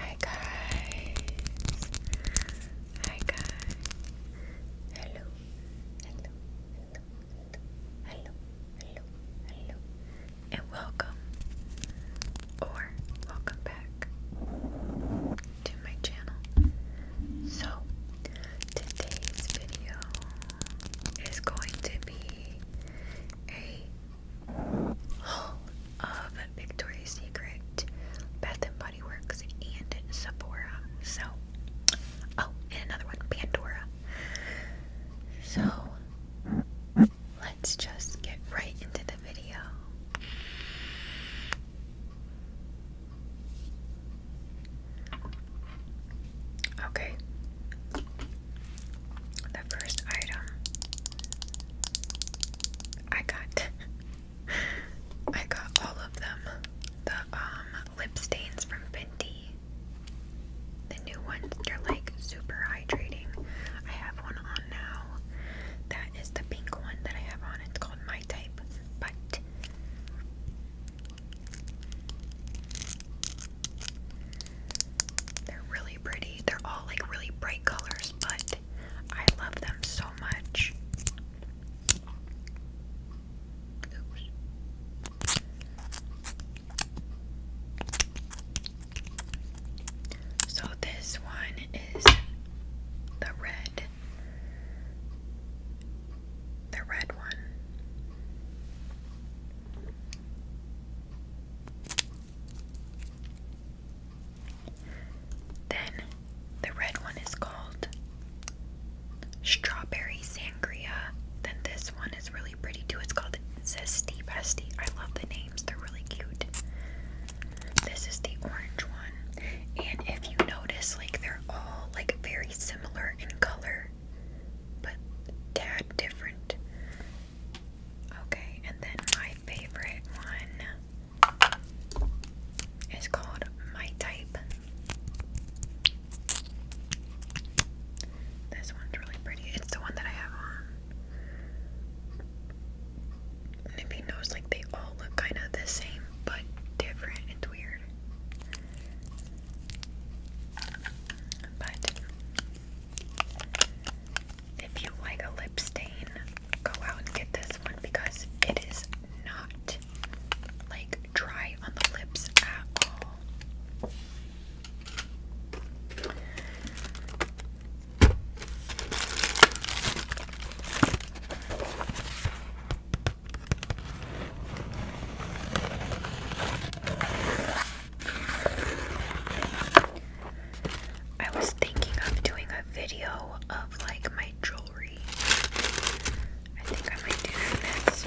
Hi guys. Hi guys. Hello. Hello. Hello. Hello. Hello. And welcome or welcome back to my channel. So today's video is going to be a of Victoria's Secret, Bath and Body Works, and Sephora. So, oh, and another one, Pandora. So, let's just get right into the video. Okay, the first item I got I got all of them. The um lip stains from Fenty. The new ones, they're like super hydrating. I have one on now. That is the pink one that I have on. It's called My Type, but they're really pretty. They're all like really bright colors, but I love them so much. So this one is the red. The red one. Then the red one is called strawberry sangria. Then this one is really pretty too. It's called Zesty Bestie. I love the names, they're really cute. This is the orange one. And if you notice, like they're all like very similar in color, but tad different. Okay, and then my favorite one is called My Type. This one's really pretty. It's the one that I have on. if you notice, like they all look kind of the same but different. It's weird. But if you like a lip stain, go out and get this one because it is not like dry on the lips at all. I was thinking of doing a video of like my jewelry. I think I might do that next.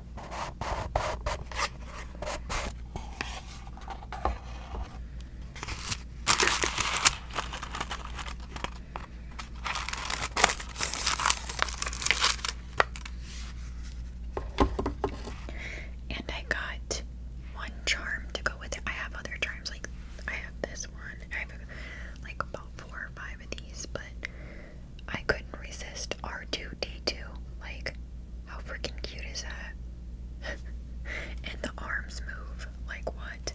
And I got one charm to go with it. I have other charms, like I have this one. I have like about four or five of these, but I couldn't resist R2D2. Like, how freaking cute is that? and the arms move. Like, what?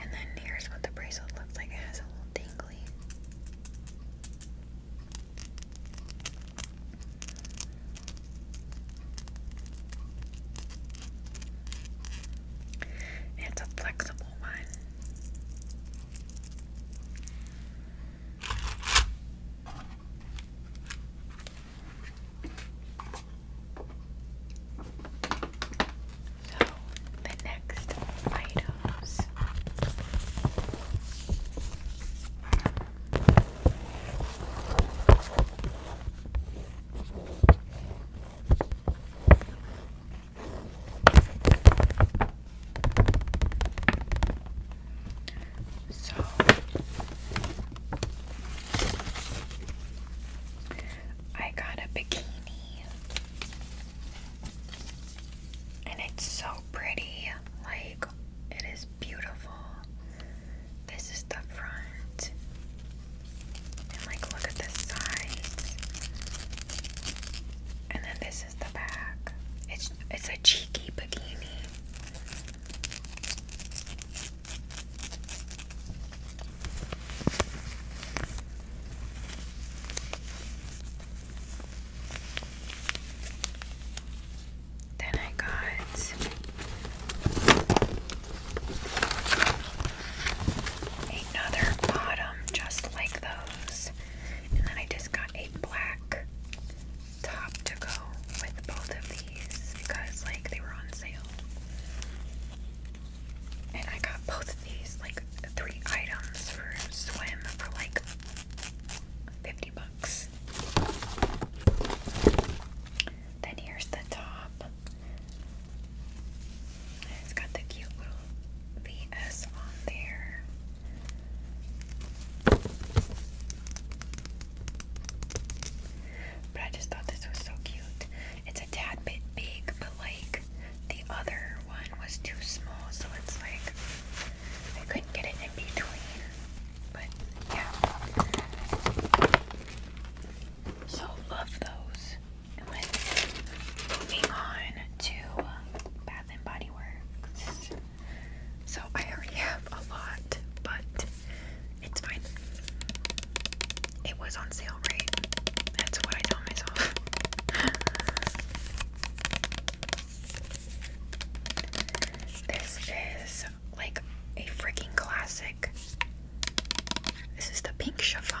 And then here's what the bracelet looks like. It has a little dingly. it's a flexible one. So, the next items so I got a bikini and it's so pretty. Like it is beautiful. This is the front. And like look at the sides. And then this this is the back. It's it's a cheeky bikini. Then I got another bottom just like those. And then I just got a black top to go with both of these because like they were on sale. And I got both of these, like three items for swim for like 50 bucks. Then here's the top it's got the cute little VS on there. But I just thought this was so cute. It's a tad bit big, but like the other one was too small, so it's like I couldn't get it in between. But yeah. So love those moving on to Bath and Body Works. So I already have a lot, but it's fine. It was on sale, right? That's what I tell myself. this is like a freaking classic. This is the pink chiffon.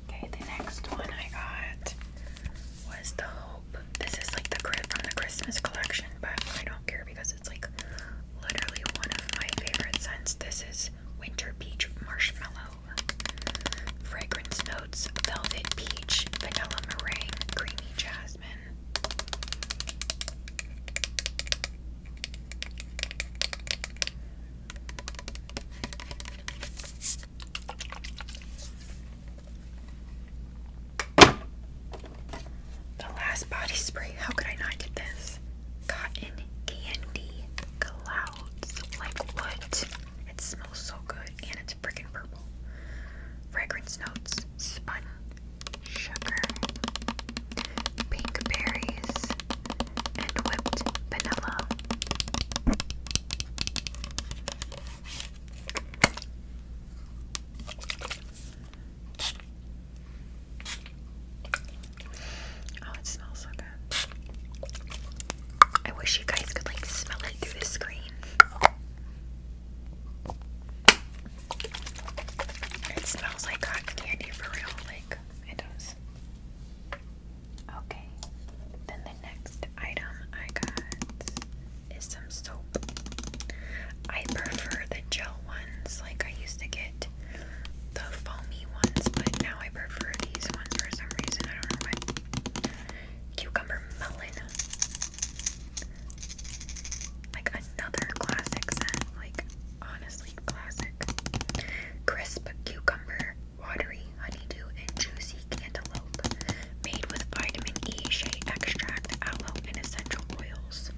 Okay, the next one I got was the Hope. This is like the grid from the Christmas collection, but I don't care because it's like literally one of my favorite scents. This is Winter Peach Marshmallow. Fragrance notes velvet peach, vanilla meringue, creamy jasmine. The last body spray. How could I not get this? Cotton candy clouds. Like what? It smells so good and it's freaking purple. Fragrance notes: spun sugar, pink berries, and whipped vanilla. Oh, it smells so good. I wish you guys could like smell it through the screen. It smells like cotton candy for real, like it does. Okay, then the next item I got is some soap. I prefer the gel ones, like I used to get the foamy ones, but now I prefer these ones for some reason. I don't know why. Cucumber melon. Like another classic like honestly classic. Crisp cucumber watery honeydew and juicy cantaloupe, made with vitamin E, shea extract, aloe, and essential oils.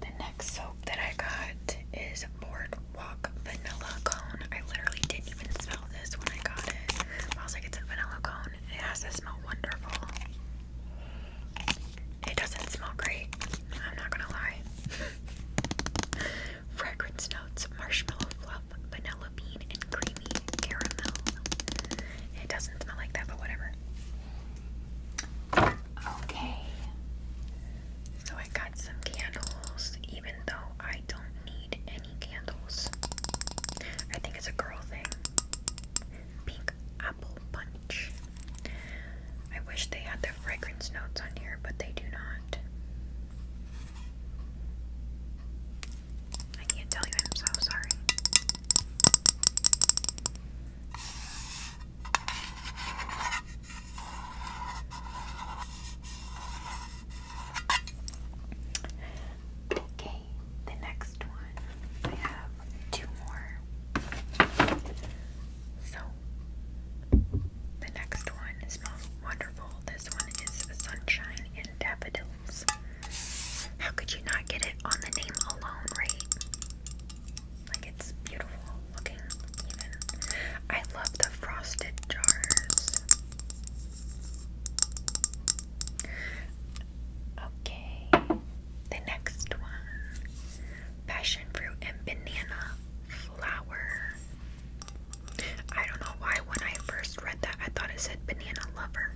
The next soap that I got is Boardwalk Vanilla Cone. I literally didn't even smell this when I got it. I it's a vanilla cone. It has to smell wonderful. It doesn't smell great. I'm not gonna lie. Fragrance notes: marshmallow fluff, vanilla bean, and creamy caramel. It doesn't smell like that, but whatever. Okay. So I got some candles, even though I I don't need any candles. I think it's a girl thing. Pink apple punch. I wish they had the fragrance notes on here, but they do not. I can't tell you, I'm so sorry. Okay, the next one. I have two more. So, the next one smells wonderful. This one is Sunshine and Daffodils. How could you not get it on the name alone, right? Like, it's beautiful looking, even. I love the frosted jars. Okay, the next one passion fruit and banana flower. I don't know why when I first read that I thought it said banana lover,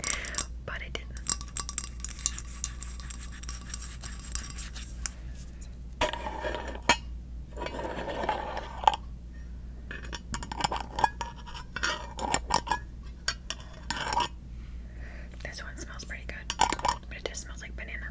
but it didn't. This one smells pretty good, but it just smells like banana.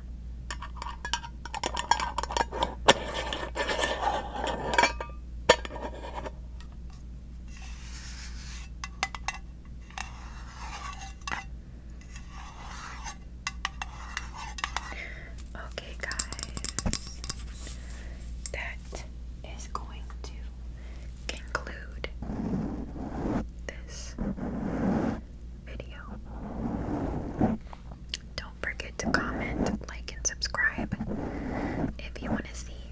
Okay, guys, that is going to conclude this video. Don't forget to comment, like, and subscribe if you want to see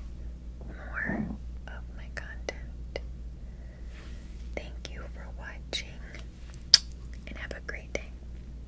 more of my content. Thank you for watching and have a great day.